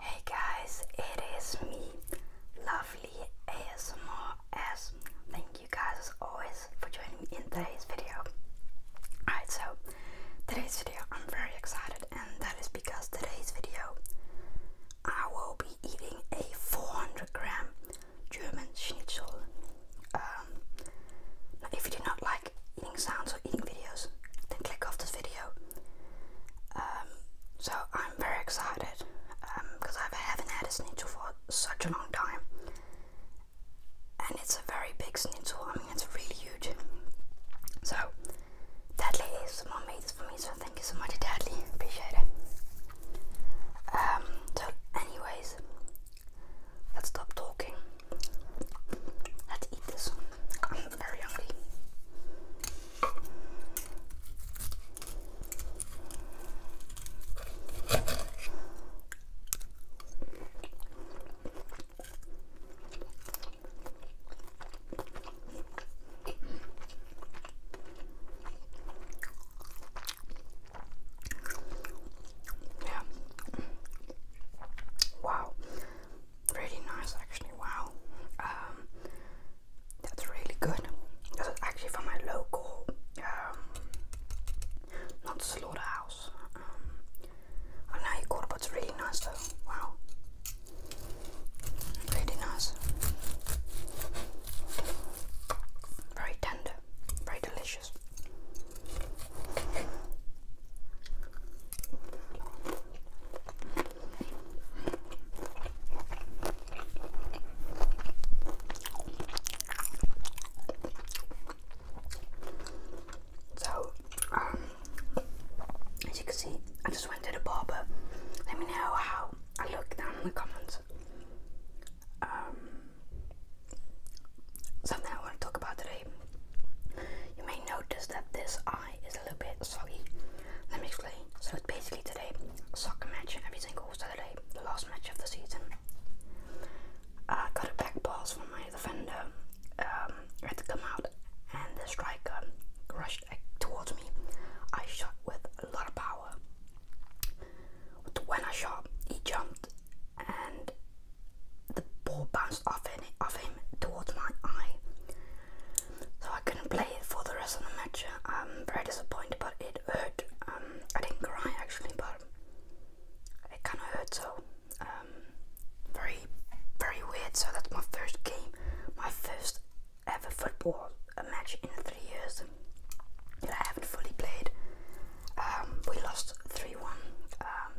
Hey guys, it is me, lovely ASMR as thank you guys as always for joining me in today's video. Alright, so today's video I'm very excited and that is because today's video I will be eating a 400 gram German schnitzel. Um, if you do not like eating sounds or eating videos, then click off this video. Um, so I'm very excited because um, I haven't had a schnitzel for such a long time, and it's a very big schnitzel. I mean, it's really huge. So Dudley is someone made this for me, so thank you so much, Dudley. Appreciate it. Um, so, anyways, let's stop talking. Let's eat this. I'm very hungry. Yeah. Wow, really nice actually, wow. Um, that's really good. That's actually from my local, um, not slaughterhouse. Um, I know you call it, but it's really nice though, wow. Really nice. Very tender, very delicious. So, um, as you can see, I just went to the barber. Let me know how I look down in the comments. Um, something I want to talk about today you may notice that this eye is a little bit soggy. Let me explain. So it's basically today, soccer match every single Saturday, the last match of the season. I got a back pass from my defender. I um, had to come out, and the striker rushed towards me. I shot with a lot of power. But When I shot, he jumped, and the ball bounced off, in, off him towards my eye. So I couldn't play for the rest of the match. I'm very disappointed, but it hurt. Um, I didn't cry actually, but it kind of hurt. So um, very, very weird. So that's my first game, my first ever football match in three years that I haven't fully played. Um, we lost 3 1. Um,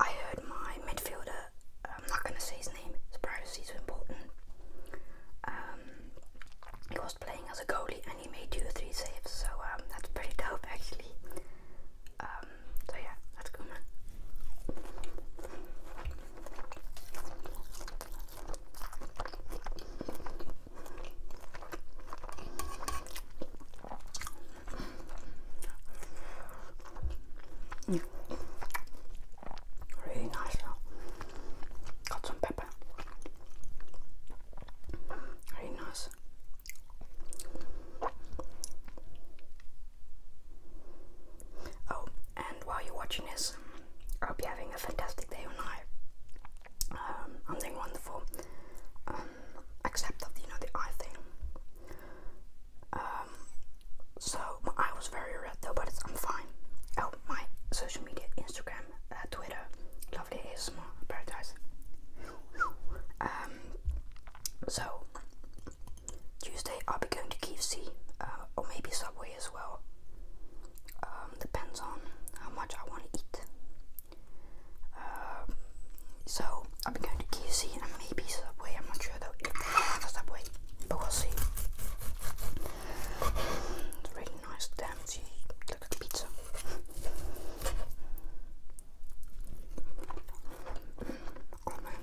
I heard my midfielder, I'm not going to say his name, his privacy is important. Um, he was playing as a goalie and he made 2 or 3 saves, so that's pretty dope actually. so yeah, that's cool, Really nice. Got some pepper. Really nice. Oh, and while you're watching this, I hope you're having a fantastic day or night. Um, I'm doing wonderful. Um, except that you know the eye thing. Um, so my eye was very red though, but I'm fine. Oh, my social media: Instagram, uh, Twitter, lovely ASMR paradise. Um, so Tuesday I'll be going to KFC, uh, or maybe Subway as well. Um, depends on how much I want to eat. Um, so i will be going to KFC and maybe Subway. I'm not sure though if they have a Subway, but we'll see. really nice, damn cheap. Look at the pizza. oh man.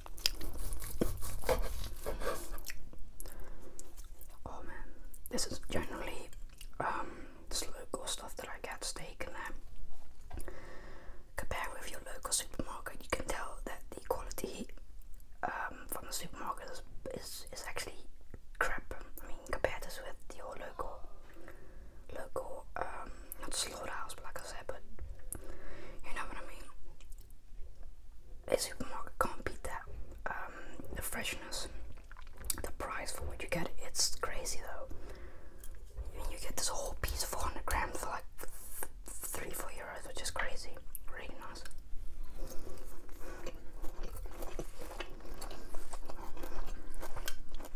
Oh man, this is generally um, the local stuff that I get steak in there. Compared with your local supermarket, you can tell that the quality um, from the supermarket is, is, actually crap. I mean, compare this with your local local um, not slaughterhouse, but like I said, but you know what I mean. It's A supermarket can't beat that. Um, the freshness, the price for what you get, it's crazy though. you get this whole piece, of 400 grams for like three, four euros, which is crazy. Really nice.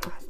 That's nice.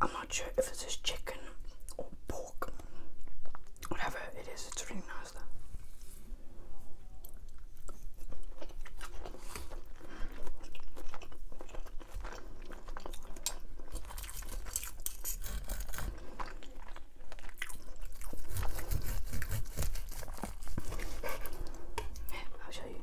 I'm not sure if it's just chicken or pork. Whatever it is, it's really nice though. I'll show you.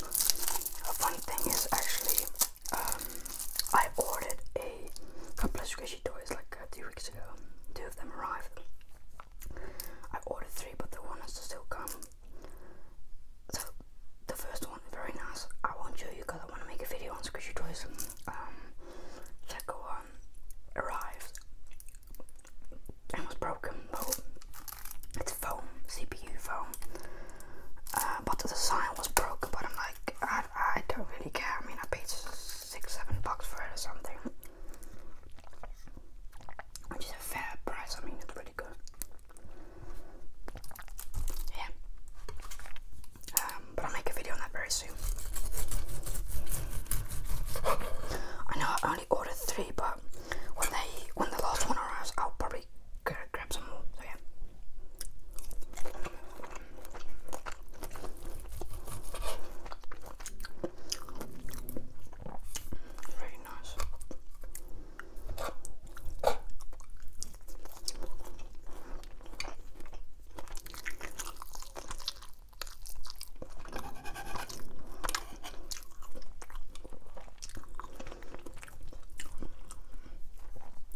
A funny thing is actually, um, I ordered a couple of squishy toys like uh, two weeks ago. Two of them arrived. I ordered three, but the one has to still come. So the first one, very nice. I won't show you because I want to make a video on squishy toys. Um, one arrived and was broken. Well, it's foam, CPU foam. Uh, but the sign was broken. But I'm like, I, I don't really care. I mean, I paid six, seven bucks for it or something, which is a fair price. I mean, it's pretty good. Yeah. Um, but I'll make a video on that very soon. I know I only ordered three, but when they when the last one arrives, I'll probably going grab some more. yeah. Very nice.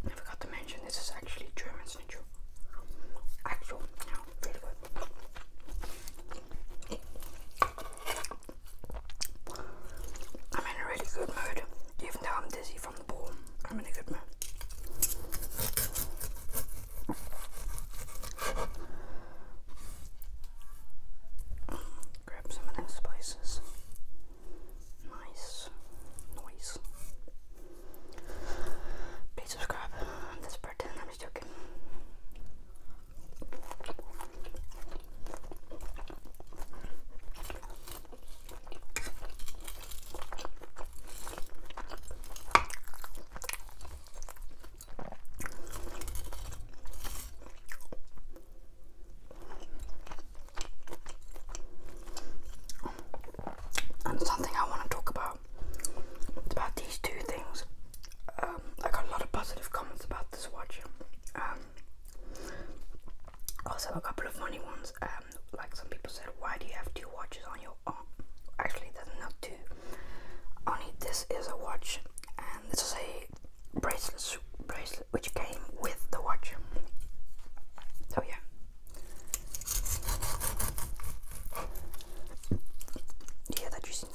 I forgot to mention this is actually German schnitzel. Actual, really good. I'm in a really good mood, even though I'm dizzy from the ball. I'm in a good mood. Grab some of those spices. Nice noise. Please subscribe. I'm just pretending I'm just joking. And something I want to talk about about these two things. Um, I got a lot of positive comments about this watch. Um, also, a couple of funny ones. Um, like some people said, why do you have two watches on your arm? Actually, there's not two. Only this is a watch, and this is a bracelet, bracelet which came with the watch. So yeah. Yeah, that you seen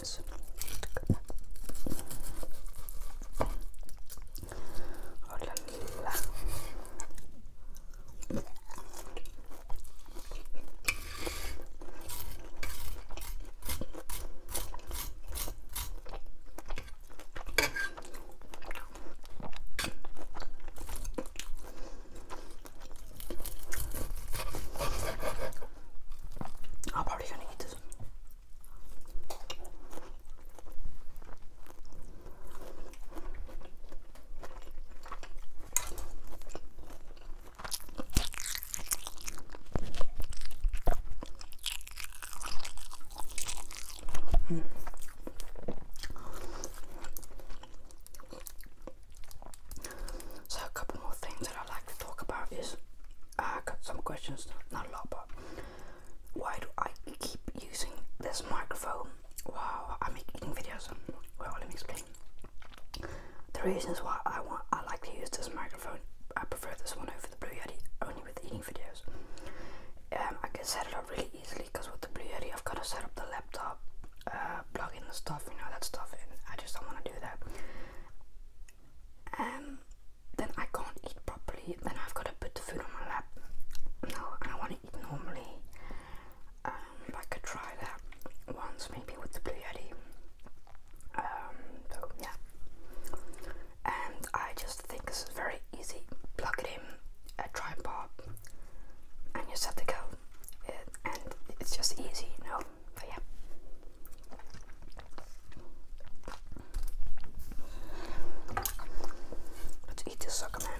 I'm probably gonna eat this. So a couple more things that I like to talk about is uh, I got some questions, not a lot, but why do I keep using this microphone while I'm making videos? Well, let me explain. The reasons why I want I like to use this microphone I prefer this one over the Blue Yeti only with eating videos. Um, I can set it up really easily because with the Blue Yeti I've got to set up the laptop, uh, plug in the stuff, you know, that stuff, and I just don't want to do that. Um, then I can't eat properly, then I've got to put the food on my lap. No, I want to eat normally. Um, I could try that once maybe with the Blue Yeti. Um, so yeah, and I just think this is very easy. Plug it in, a tripod, and you're set to go. and it's just easy, you know. But yeah. Let's eat this sucker, man.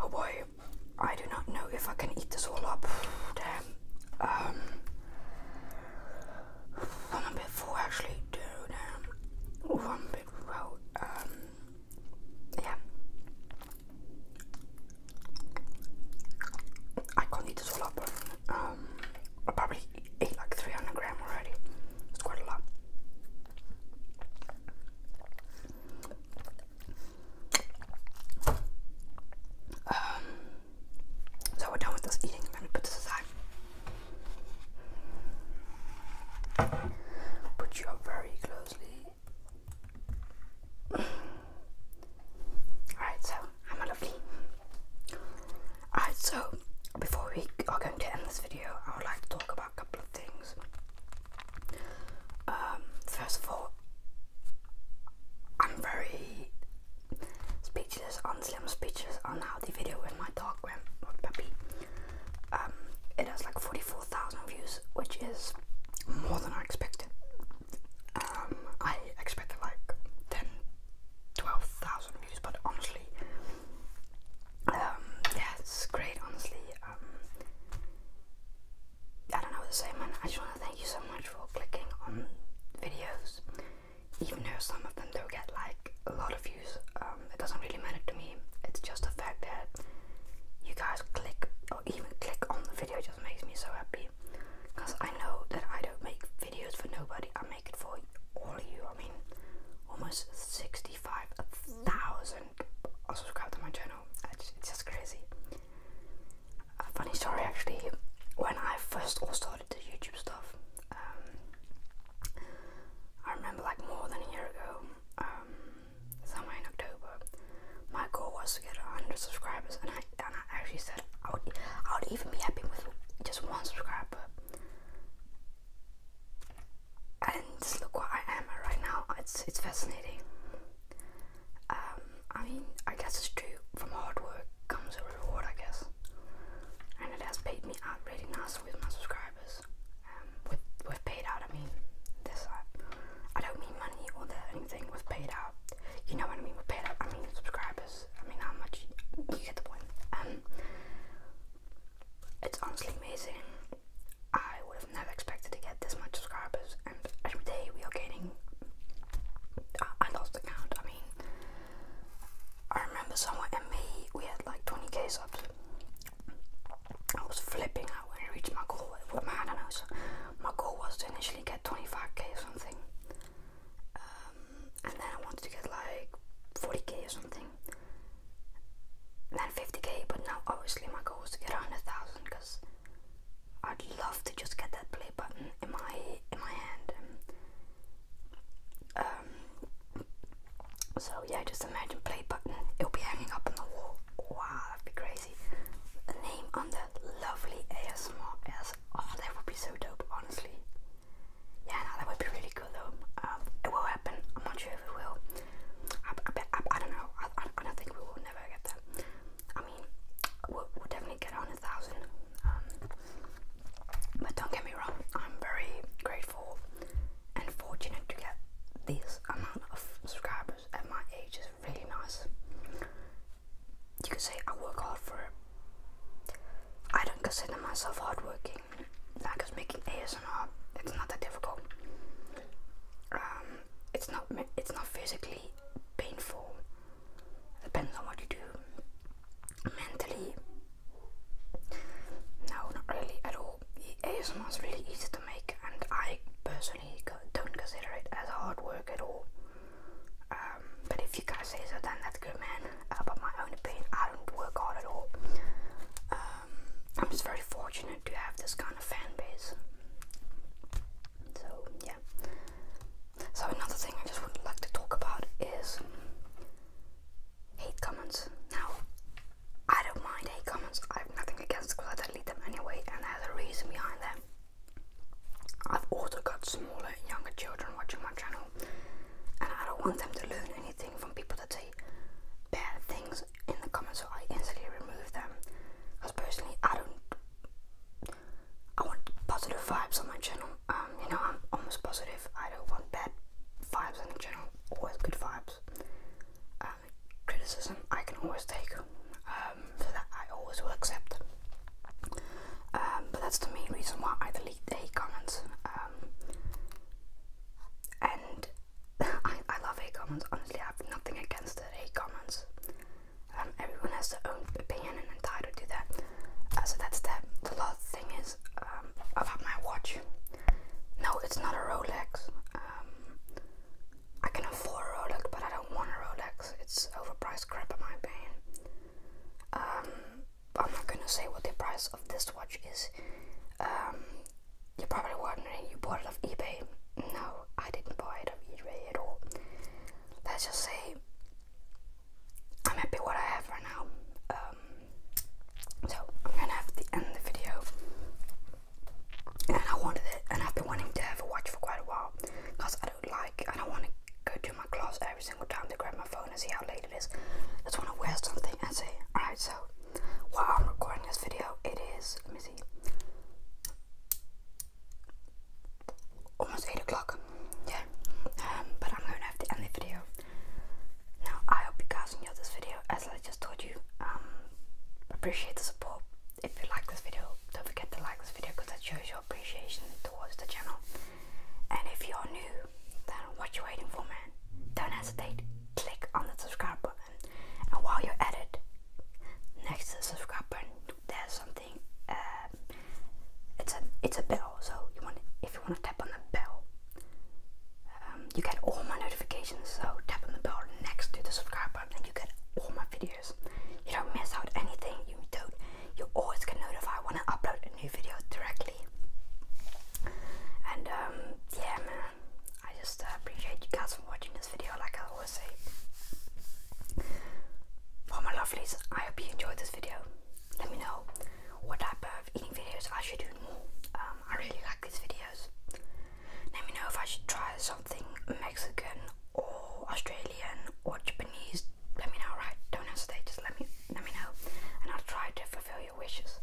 Oh boy, I do not know if I can eat this all up. Damn. Um, i bit full actually. Damn. Um, ooh, bit well. Um, yeah. I can't eat this all up. Um, I probably ate like 300 gram already. It's quite a lot. Um, so we're done with this eating. Let me put this aside. Put you up very closely. Alright, so I'm lovely. Alright, so before we are going to end this video, I would like to talk about a couple of things. Um, first of all, I'm very speechless, I'm speechless on how the video in my dog went with Puppy. Um, it has like 44 4,000 views, which is more than I expected. Um, I expected like 10, views, but honestly, um, yeah, it's great, honestly. Um, I don't know what to say, man. I just want to thank you so much for clicking on videos, even though some of them do get like a lot of views. it doesn't really matter to me. It's just the fact that you guys click even click on the video just makes me so happy because I know that I don't make videos for nobody, I make it for all of you. I mean, almost 65,000 are subscribed to my channel, it's just crazy. A funny story actually, when I first all started the YouTube stuff, um, I remember like more than a year ago. Um, somewhere in October. My goal was to get 100 subscribers, and I and I actually said I would I would even be happy with just one subscriber. And look what I am right now. It's it's fascinating. Um, I mean, I guess it's true. From hard work comes a reward, I guess. And it has paid me out really nice with my subscribers with, with paid out, I mean this, uh, I don't mean money or that anything with paid out, you know what I mean, with paid out, I mean subscribers, I mean how much, you, get the point, um, it's honestly amazing, I would have never expected to get this much subscribers, and every day we are gaining, I, uh, I lost the count, I mean, I remember somewhere in May we had like 20k subs, I was flipping out when I reached my goal. It, my, I know, so my goal was to initially get 25k or something, um, and then I wanted to get like 40k or something, and then 50k. But now, obviously, my goal is to get 100,000 because I'd love to just get that play button in my in my hand. Um, so yeah, just imagine play button. It'll be hanging up on the wall. Wow, that'd be crazy. A name on lovely ASMR oh that would be so dope honestly. Yeah that would be really cool though. Um, it will happen. I'm not sure if it will. I, don't know. I, don't think we will never get that. I mean, we'll, definitely get on a thousand. Um, but don't get me wrong. I'm very grateful and fortunate to get this amount of subscribers at my age is really nice. You can say I work hard for it. I don't consider myself hardworking. Like us making ASMR, it's not that difficult. Um, it's not it's not physically painful. Depends on what you do. Mentally, no, not really at all. ASMR is really easy to make, and I personally don't consider it as hard work at all. Um, but if you guys say so, then that's good, man. Uh, but my own opinion, I don't work hard at all. Um, I'm just very fortunate to have this kind of fan base. So yeah. So another thing I just would like to talk about is hate comments. Now, I don't mind hate comments, I have nothing against because I delete them anyway and there's a reason behind them. I've also got smaller, younger children watching my channel and I don't want them to learn anything from people that say bad things in the comments so I instantly remove them. Because personally I don't, I want positive vibes on my channel. Um, you know I'm almost positive, I don't want bad vibes on the channel, always good vibes criticism I can always take, um, For that I always will accept. Um, but that's the main reason why I delete the hate comments. Um, and I, I love hate comments, honestly, I have nothing against it. hate comments. everyone has their own opinion and entitled to that. Uh, so that's that. The last thing is um, about my watch. No, it's not a Rolex. I can afford a Rolex, but I don't want a Rolex. It's overpriced crap in my opinion. Um, I'm not gonna say what the price of this watch is. Um, you're probably wondering, you bought it off eBay. No, I didn't buy it off eBay at all. Let's just say I'm happy what I have right now. Um, so I'm gonna have to end the video and I wanted it, and I've been wanting to have a watch for quite a while, cause I don't like, I don't want to go to my class every single time to grab my phone and see how late it is. I just want to wear something and say, all right, so while I'm recording this video, it is let me see, almost eight o'clock. Yeah, um, but I'm gonna have to end the video. Now I hope you guys enjoyed this video as I just told you. Um, appreciate the support. If you like this video, don't forget to like this video because that shows your appreciation towards the channel. And if you're new, then what you waiting for, man? Don't hesitate. Click on the subscribe button. And while you're at it, next to the subscribe button, there's something. Uh, it's a it's a bell. So you want if you want to tap on the bell, um, you get all my notifications, so tap on the bell next to the subscribe button and you get all my videos. You don't miss out anything, you don't you always get notified when I upload a new video directly. And um, yeah man, I just uh, appreciate you guys for watching this video like I always say. For my lovelies, I hope you enjoyed this video. Let me know what type of eating videos I should do more. Um, I really like these videos. Let me know if I should try something Mexican or Australian or Japanese. Let me know, right? Don't hesitate. Just let me let me know, and I'll try to fulfill your wishes.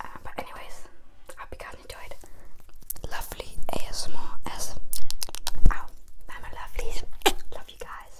Uh, but anyways, I hope you into it. Lovely ASMR as oh, lovely. Love you guys.